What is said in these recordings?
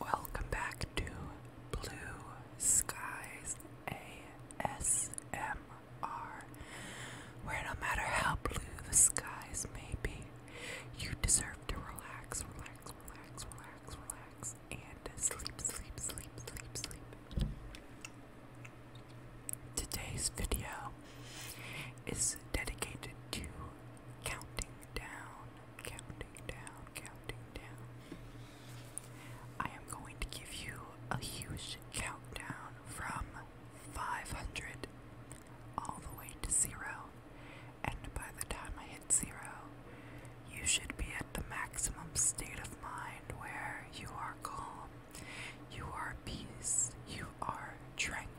Welcome back to Blue Skies ASMR, where no matter how blue the skies may be, you deserve to relax, relax, relax, relax, relax, and sleep, sleep, sleep, sleep, sleep. Today's video is dedicated to counting down, counting down, counting down. I am going to give you a huge countdown from 500 all the way to zero, and by the time I hit zero, you should be at the maximum state of mind where you are calm, you are peace, you are tranquil.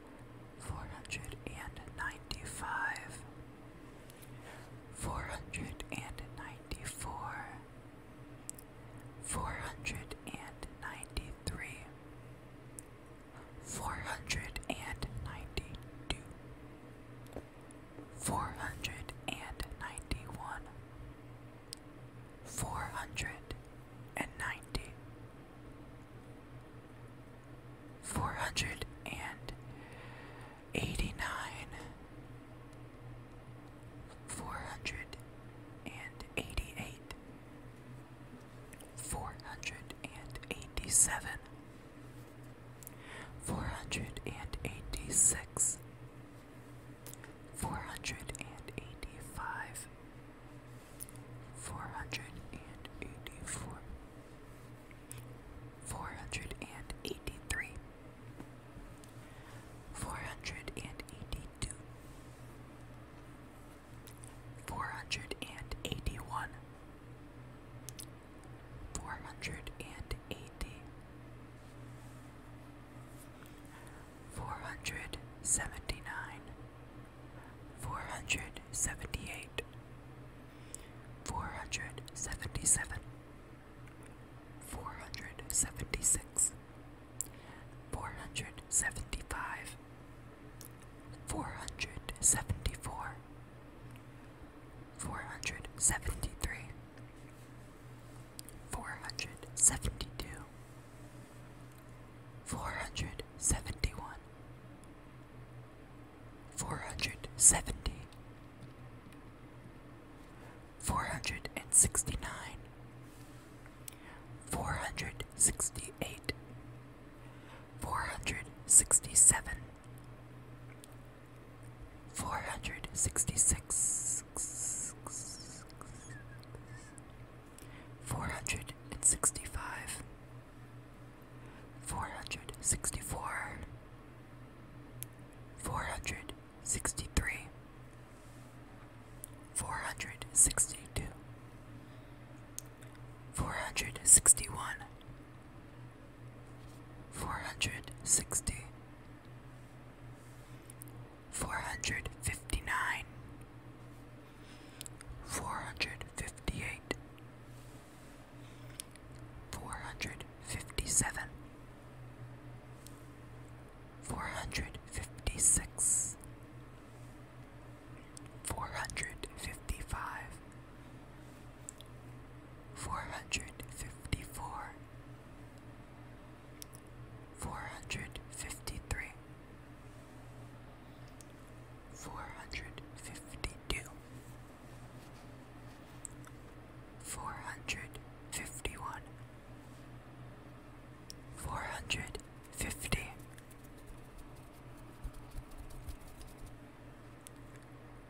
four hundred and ninety five, four hundred and ninety four, four hundred and ninety three, four hundred and ninety two, four hundred and ninety one. Four hundred and ninety, four hundred and eighty nine, four hundred and eighty eight, four hundred and eighty seven, four hundred and eighty six. Four hundred and eighty five, four hundred and eighty four, four hundred and eighty three, four hundred and eighty two, four hundred and eighty one, four hundred 480 479 four hundred seventy eight, four hundred seventy seven, four hundred seventy six, four hundred seventy five, four hundred seventy four, four hundred seventy three. Four hundred seventy two, four hundred seventy one, Four hundred seventy. Four hundred and and sixty nine, four hundred sixty eight, four hundred sixty seven, four hundred sixty six. Four hundred and sixty five, four hundred sixty four, four hundred sixty three, four hundred sixty two, four hundred sixty one, four hundred Four hundred sixty. Four hundred fifty-nine. nine. Four hundred fifty eight, Four hundred fifty seven, four hundred fifty six, four hundred fifty five, four hundred fifty four, four hundred fifty three. Four hundred fifty two, Four hundred fifty one, four hundred fifty,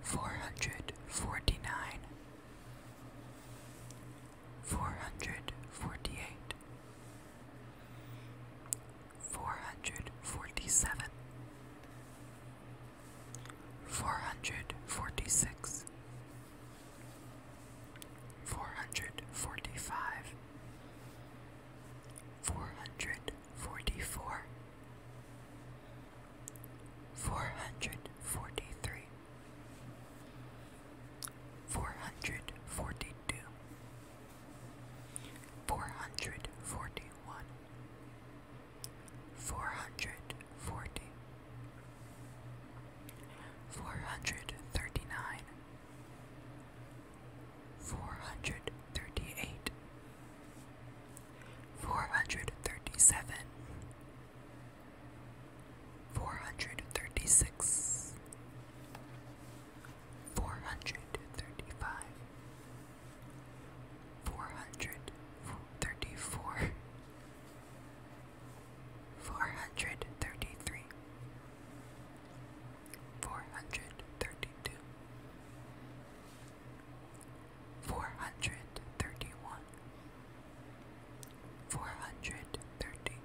four hundred forty nine, four hundred forty eight four hundred forty seven, four hundred forty six, four hundred forty five, four hundred forty four, four hundred forty three. Four hundred forty two, four hundred forty one, Four hundred forty. Four hundred thirty-nine. hundred thirty nine, four hundred thirty eight, four hundred thirty seven, four hundred thirty six, four hundred thirty five four hundred thirty four, four hundred thirty three, four hundred thirty two, four hundred thirty one, four hundred thirty.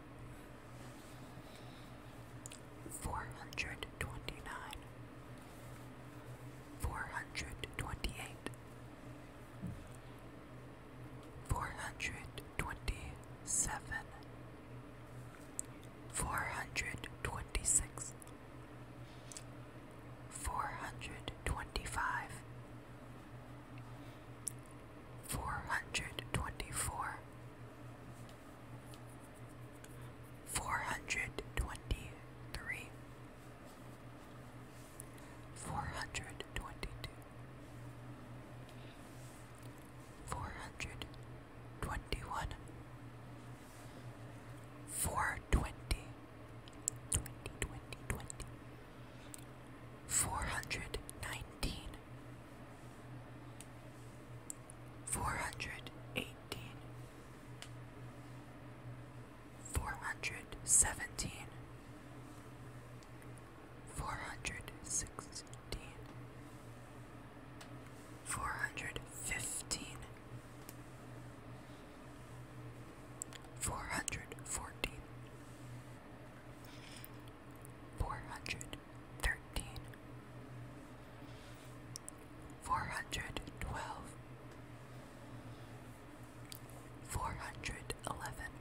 Four hundred twenty nine, four hundred twenty eight, four hundred twenty seven, four hundred twenty six, four hundred twenty five. Four hundred twenty four, four hundred twenty three, Four hundred twenty two, four hundred twenty one, four twenty, twenty, twenty, 419 420 421 422 423 four hundred seventeen, four hundred sixteen, four hundred fifteen, four hundred fourteen, four hundred thirteen. Four hundred twelve. Four hundred eleven.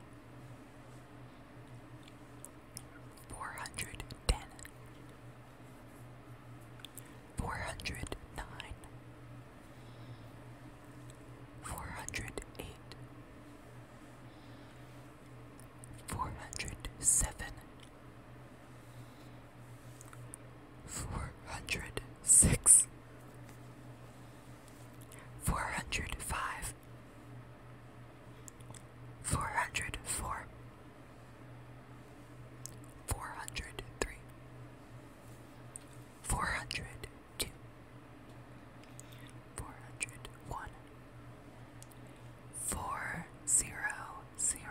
Four hundred ten. Four hundred nine. four hundred ten, four hundred nine, four hundred eight, four hundred seven four hundred six, four hundred five, four hundred four, four hundred three, four hundred two, four hundred one, four zero zero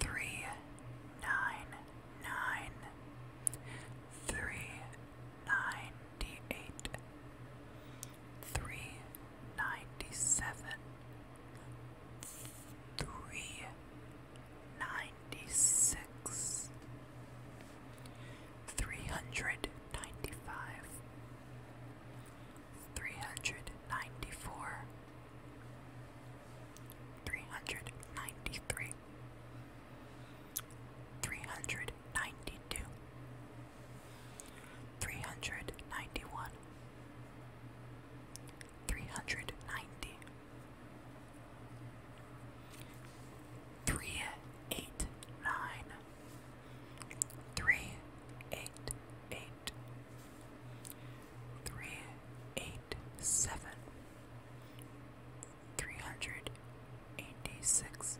three nine nine three ninety eight three ninety seven three ninety six three hundred ninety five Three hundred ninety four, three hundred ninety three, three hundred ninety two, three hundred ninety one, three hundred ninety, three eight nine, three eight eight. 389 389 Three hundred, eighty-six. hundred eighty six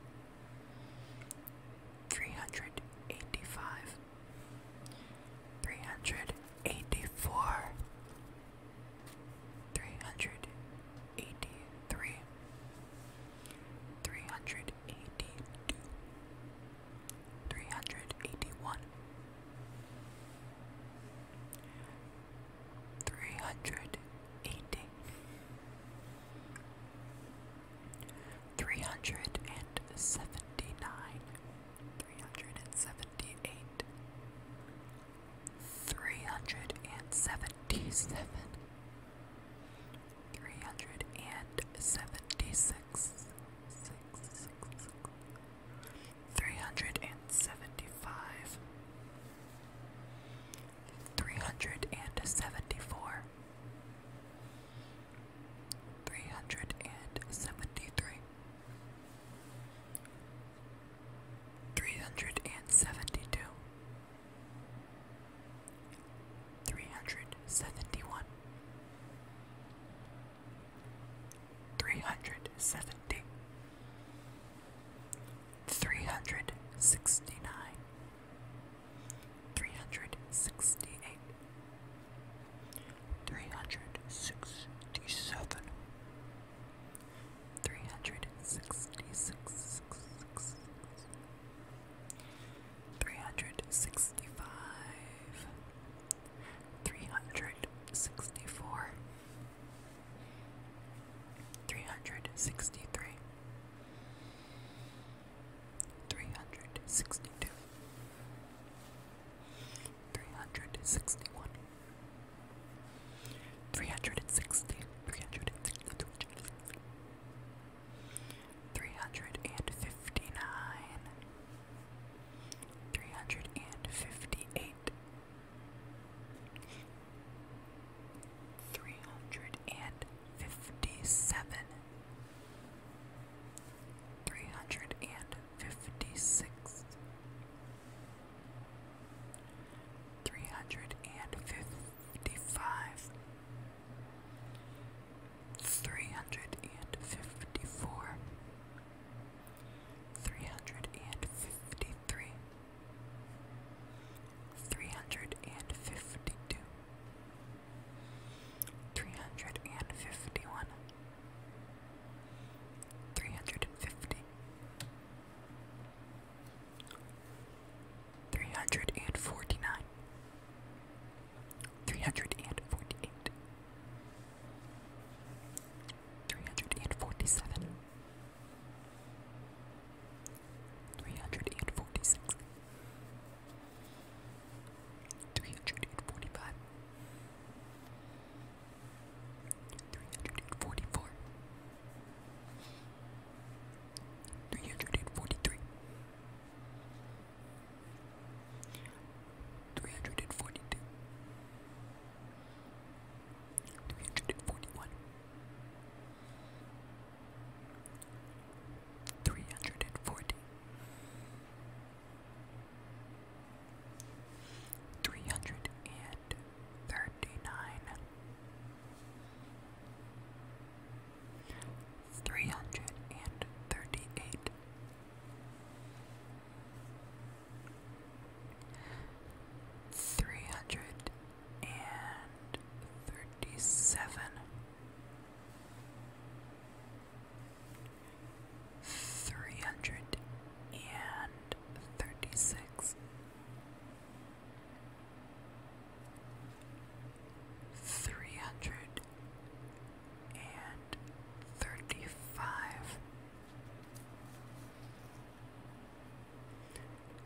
three hundred eighty five three hundred eighty four three hundred eighty three three hundred eighty two Three hundred eighty one, three hundred eighty, three hundred and seventy nine, three hundred and seventy eight, three hundred and seventy seven, three seven, three hundred and seventy six three hundred and seventy five, three hundred and seventy four, three hundred and seventy three, three hundred and seventy two. 371 Three hundred seventy. Three hundred sixty-nine. hundred sixty nine, three hundred sixty eight, three hundred sixty seven, three hundred sixty six. 365 364 Three hundred sixty three, three hundred sixty two, three hundred sixty one, three hundred and sixty, three hundred and sixty two, three hundred and fifty nine, three hundred and fifty eight three hundred and fifty seven, three hundred and fifty six, three hundred and fifty five. Three hundred and fifty four, three hundred and fifty three, three hundred and fifty two, three hundred and fifty one, three hundred and fifty. 349 348 347 Three hundred and forty six, three hundred and forty five, three hundred and forty four, three hundred and forty three, three hundred and forty two. 341 340 339 338 three hundred and thirty seven, three hundred and thirty six. Three hundred and thirty five,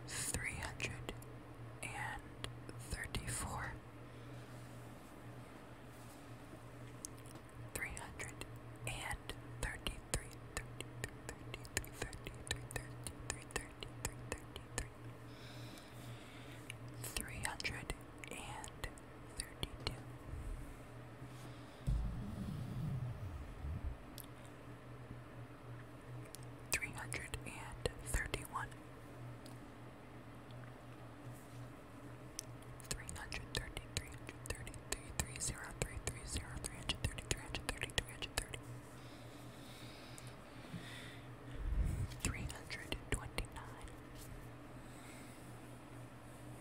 three hundred and thirty four, three hundred and thirty three, thirty three, thirty three, thirty three, thirty three, thirty three, thirty three. 332 three hundred and thirty one, three hundred thirty, three hundred thirty, three three zero, three three zero, three hundred thirty, three hundred thirty, three hundred thirty. 329 329 329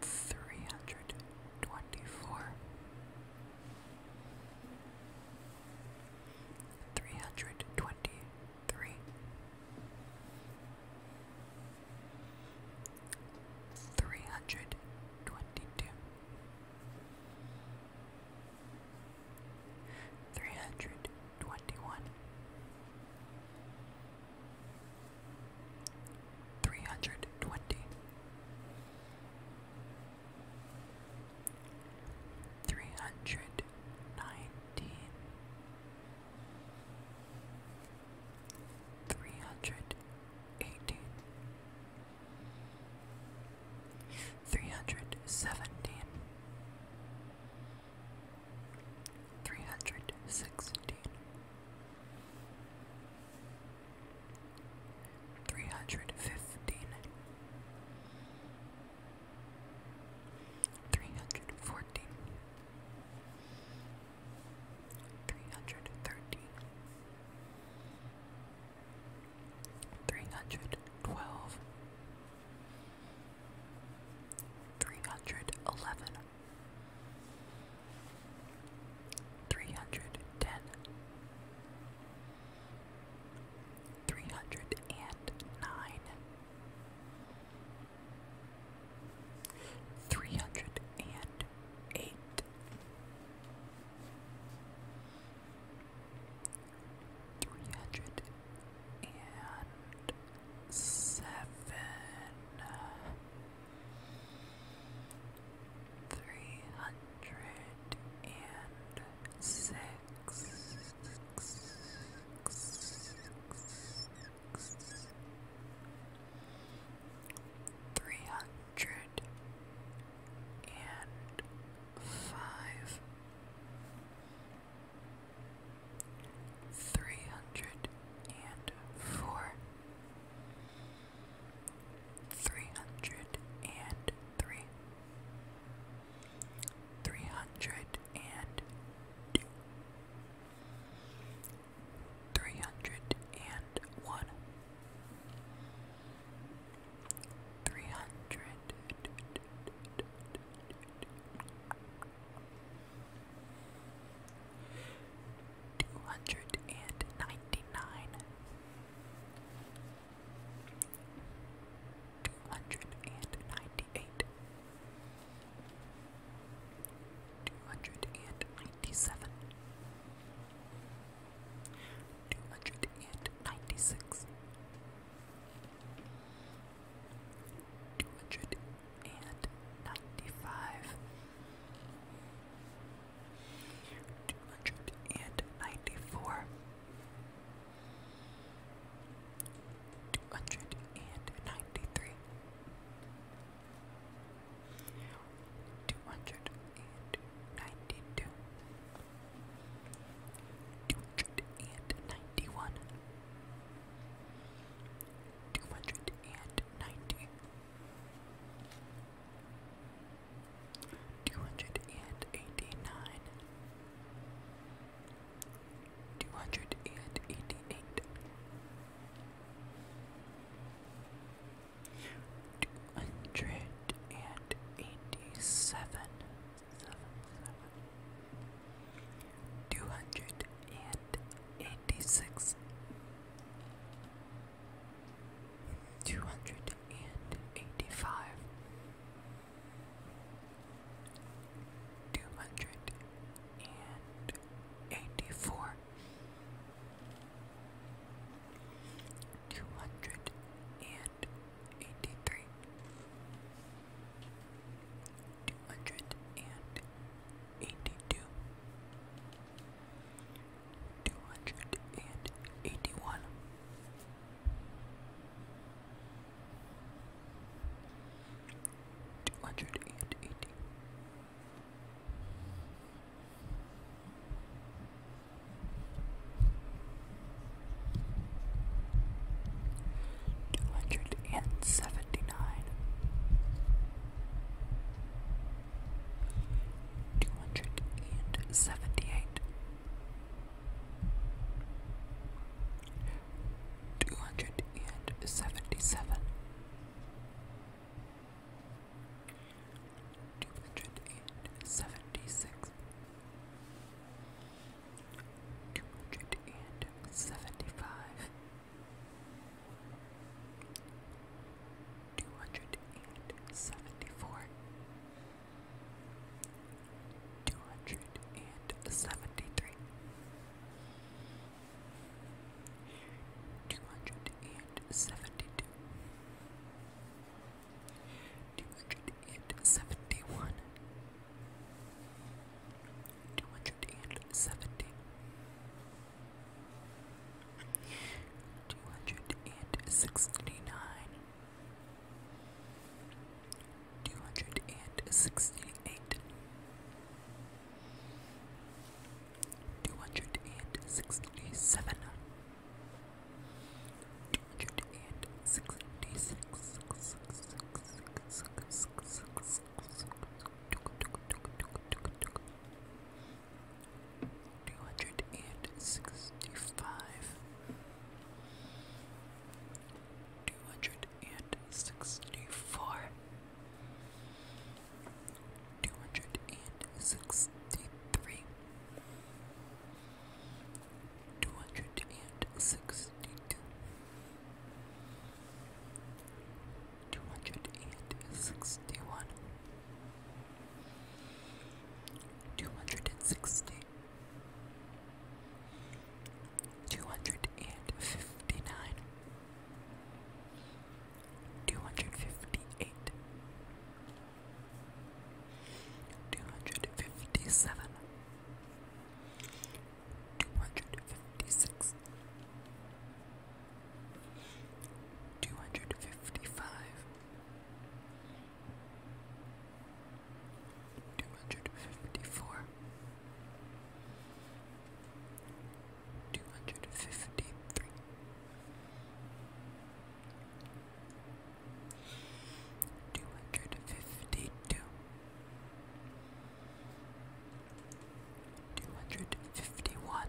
three hundred twenty four, three hundred twenty three, three hundred twenty two. 321 Three hundred twenty. three hundred twenty, three hundred nineteen, three hundred eighteen. 317 316 Three hundred fifteen. Three hundred thirteen. Three hundred twelve. Three hundred eleven three hundred ten, three hundred and nine, three hundred and eight, three hundred and seven three hundred and six. Three hundred and five, three hundred and four, three hundred and three, three hundred and two, three hundred and one, three hundred two hundred and ninety nine, two hundred and ninety eight, two hundred and ninety seven, two hundred and ninety six. 295 two hundred and ninety four, two hundred and ninety three, two hundred and ninety two, two hundred and ninety one. Two hundred and ninety, two hundred and eighty nine, two hundred and eighty eight, two hundred and eighty Two hundred and eighty-seven. 286 two hundred and eighty five, two hundred and eighty four, two hundred and eighty three. Two hundred and eighty-two, two hundred and eighty-one, two hundred and eighty. Two two hundred and seventy-eight, two hundred and seventy-seven, two hundred and seventy-six, two hundred and seventy-five two hundred and seventy four, two hundred and seventy three, two hundred and seventy two. 271 270 two hundred and sixty nine, two hundred and sixty eight, two hundred and sixty seven, two hundred and sixty six. Two hundred and two hundred and sixty-five, two hundred and sixty-four, two hundred and sixty-three, two hundred and sixty-two. Two hundred and sixty one, Two hundred and sixty. Two hundred hundred and fifty nine, two hundred fifty eight, two hundred fifty seven, two hundred fifty six. 255 Two hundred fifty-four, two hundred fifty-three, two hundred fifty-two, two hundred fifty-one.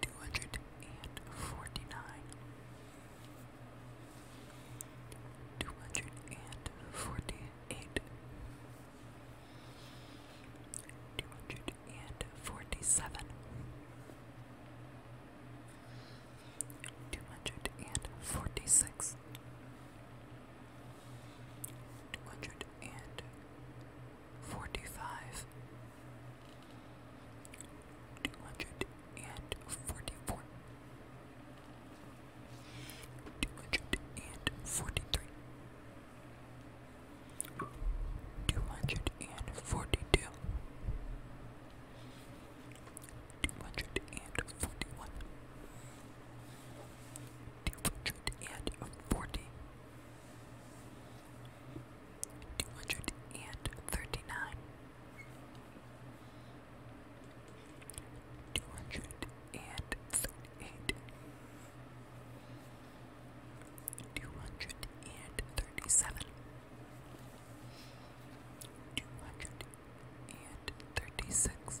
two hundred and forty nine, two hundred and forty eight, two hundred and forty seven. Two hundred and forty six, two hundred and four two five two hundred and forty four two hundred and forty three two hundred and forty two two hundred and forty one Two hundred and forty, two hundred and thirty nine, two hundred and thirty eight, two hundred and thirty seven, two hundred and thirty six.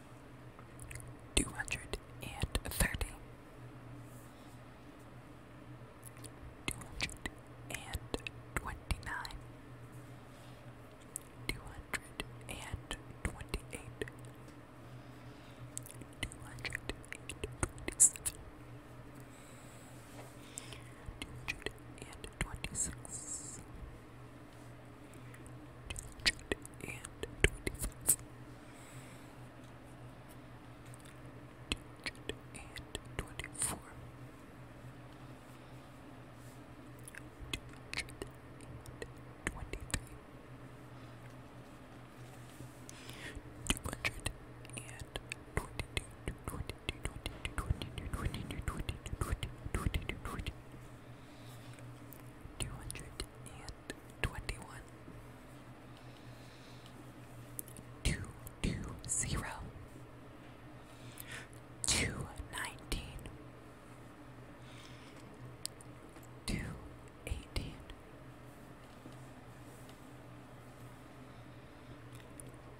two hundred and thirty, two hundred and twenty nine, two hundred and twenty eight, two hundred and twenty seven. 226 230 Two hundred and twenty-one. Two two zero. Two nineteen. Two eighteen.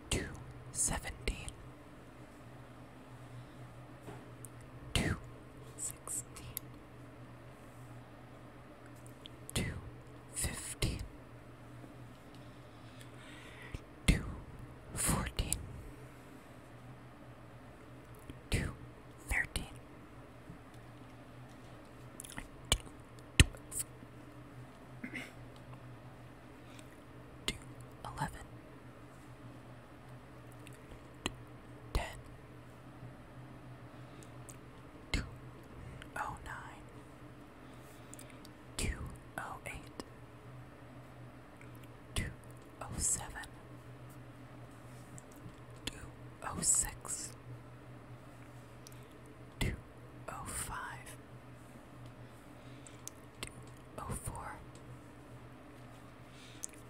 Two seventeen. Two sixteen, two fifteen, two fourteen, two thirteen, two twelve, two eleven. 2 ten, two oh nine, two oh eight, two oh seven, two oh six, two oh five, two oh four.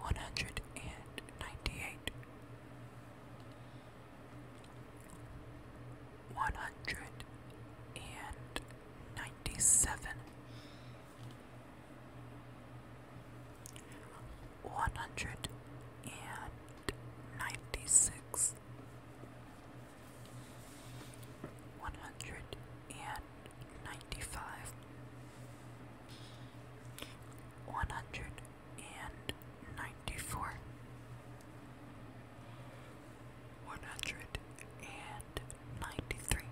one hundred and ninety-eight, one hundred and ninety-seven, one hundred and ninety-six. One hundred and ninety five, one hundred and ninety four, one hundred and ninety three,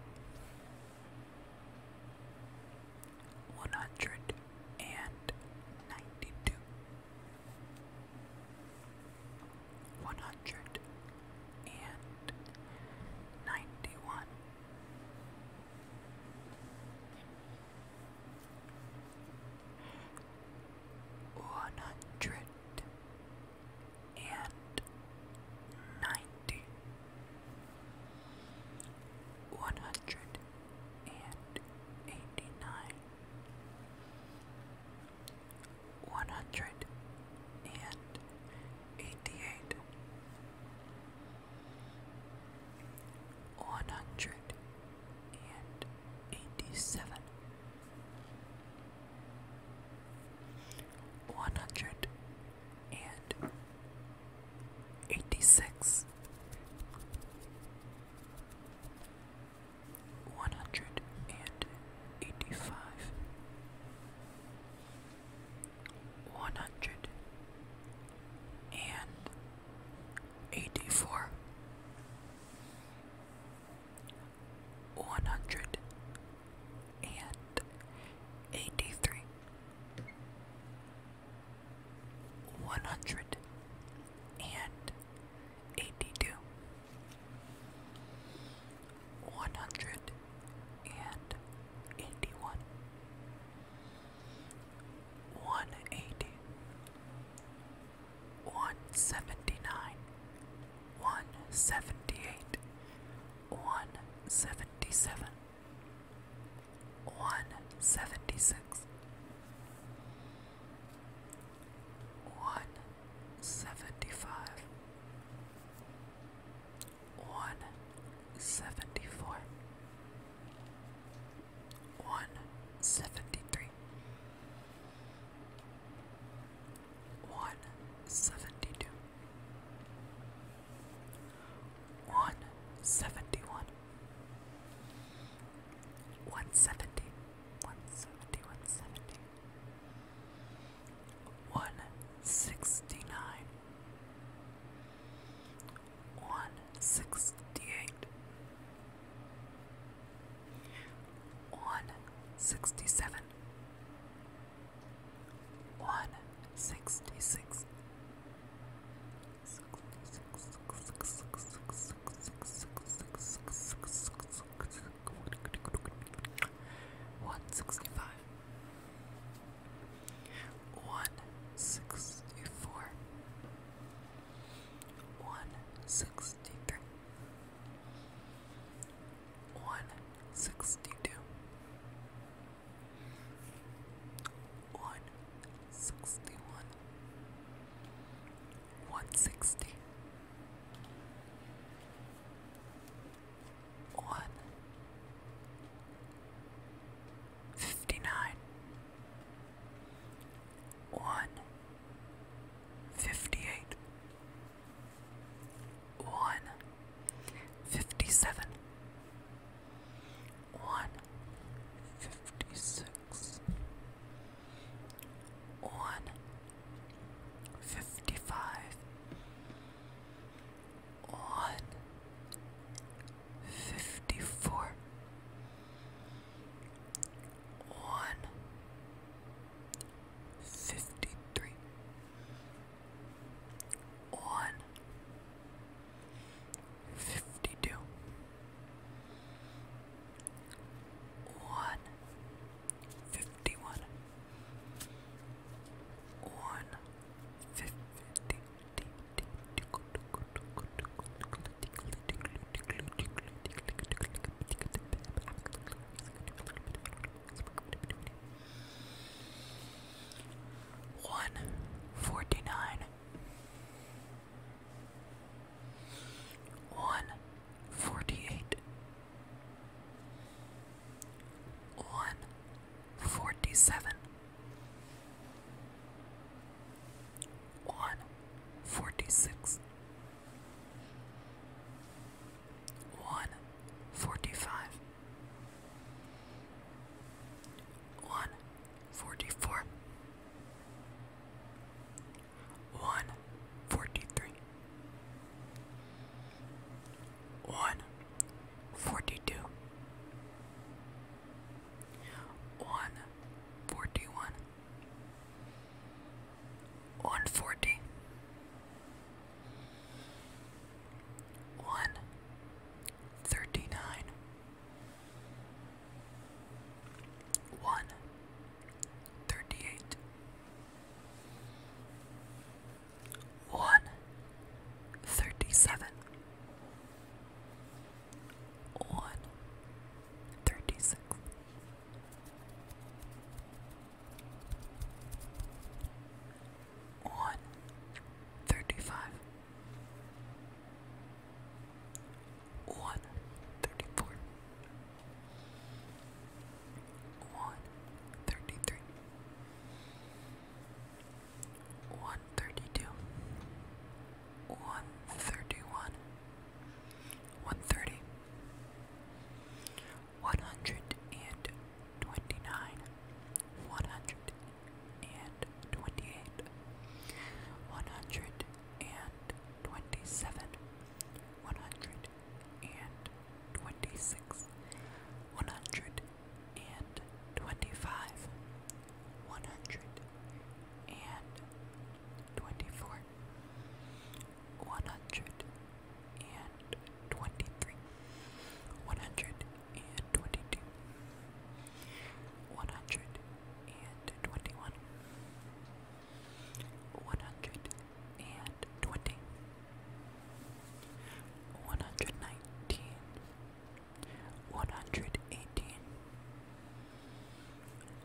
one hundred and ninety two, one hundred and ninety one. 191 one hundred and ninety, one hundred and eighty-nine, one hundred and eighty-eight one hundred and eighty seven, one hundred and eighty six, one hundred and eighty five one hundred and eighty four, one hundred and eighty three, one hundred and eighty two. One hundred and eighty one, 180 179 178 177 176 175 one seventy four, one seventy three, one seventy two, one seventy one. 170 170 170 169 one sixty eight, one sixty seven, one sixty six. One sixty five, one sixty four, one sixty three, one sixty two, one sixty one, one sixty. One fifty-nine, Fifty eight. Fifty seven. one fifty-eight, one fifty-seven, one fifty-six, one fifty-five, one fifty-four, Fifty three. one fifty-three, one fifty-two, one fifty-one, one fifty one forty nine, one forty eight, one forty seven. 147 one forty six, one forty five, one forty four, one forty three, one forty two. 142 one forty one, one forty, one thirty nine, one thirty eight, one thirty seven. One thirty-six. thirty six. On thirty five, one thirty two, one thirty one, one thirty, one hundred and twenty nine, one hundred and twenty eight, one hundred and twenty seven, one hundred and twenty six, one hundred and twenty five. 130 131 120 121 122 125 one hundred and twenty-four, one hundred and twenty-three, one hundred and twenty-two, one hundred and twenty-one, one hundred and twenty. One hundred nineteen, 118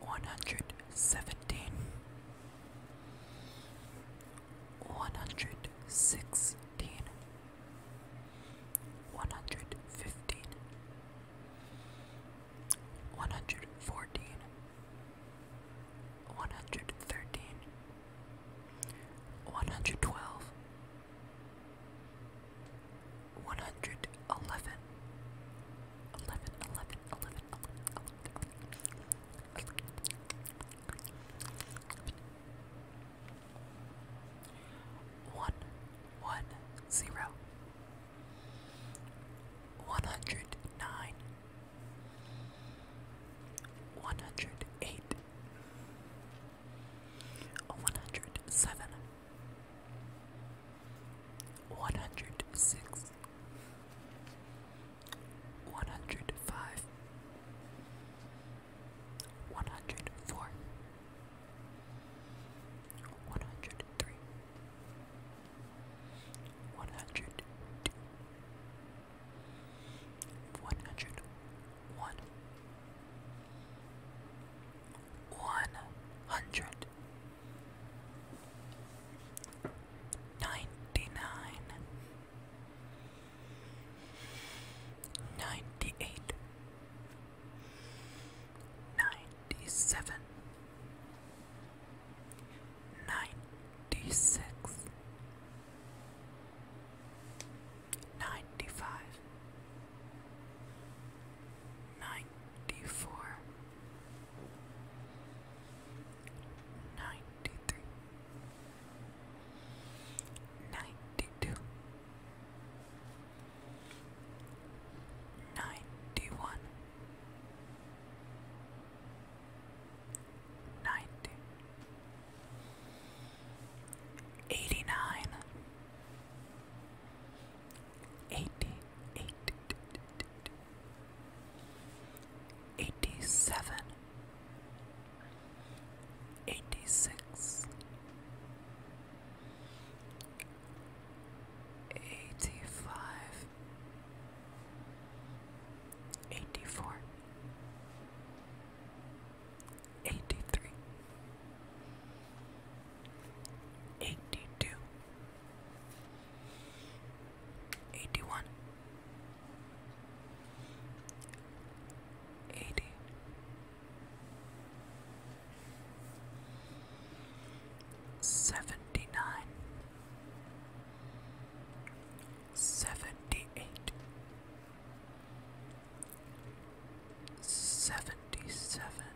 117 116 115 114 113 112 one hundred eleven. nine. One hundred eight. One hundred seven one hundred six, one hundred five, one hundred four, one hundred three, one hundred two, one hundred one one hundred ninety nine ninety eight ninety seven ninety six Ninety five, Ninety-four, ninety-three, ninety-two, ninety-one, ninety, eighty-nine eighty-eight, eighty-seven, eighty-six, eighty-five, eighty-four, eighty-three. 82 81 80 79 78 77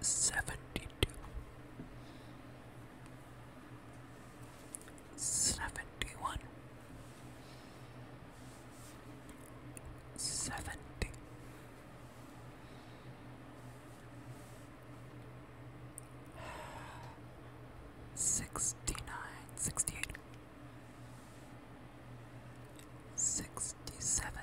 Seventy-two, seventy-one, seventy, sixty-nine, sixty-eight, sixty-seven. 67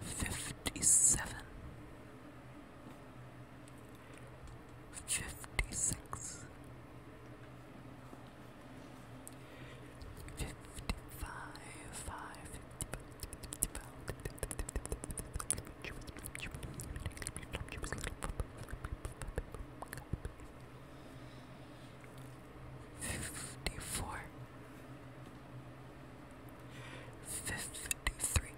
fifty seven, fifty six, fifty five, five, fifty five fifty-four, fifty-three,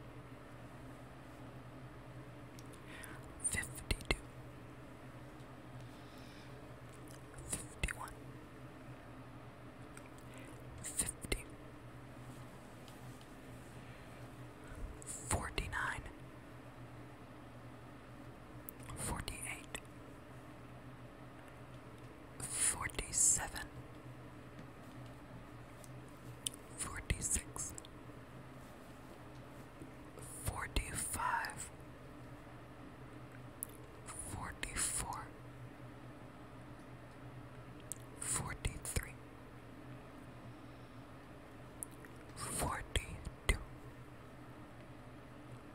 fifty-two, fifty-one, fifty, forty-nine, forty-eight forty-seven, forty-six, forty-five, forty-four, forty-three, forty-two.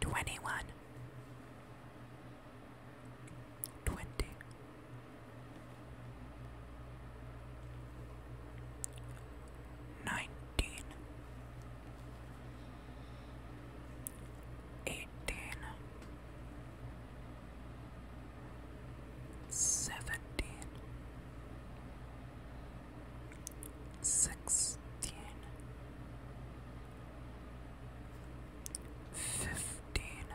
Twenty one, twenty, nineteen, eighteen, seventeen sixteen, fifteen,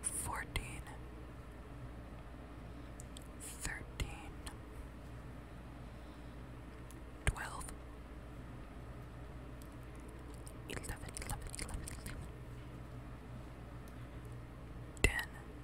fourteen, thirteen, twelve, eleven, eleven, eleven, eleven, ten. 9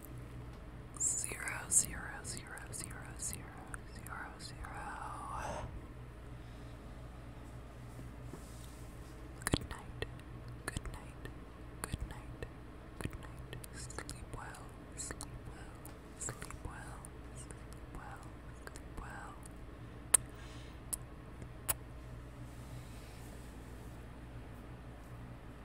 Zero, zero, zero, zero, zero, zero, zero. Good night, good night, good night, good night. Sleep well, sleep well, sleep well, sleep well, sleep well.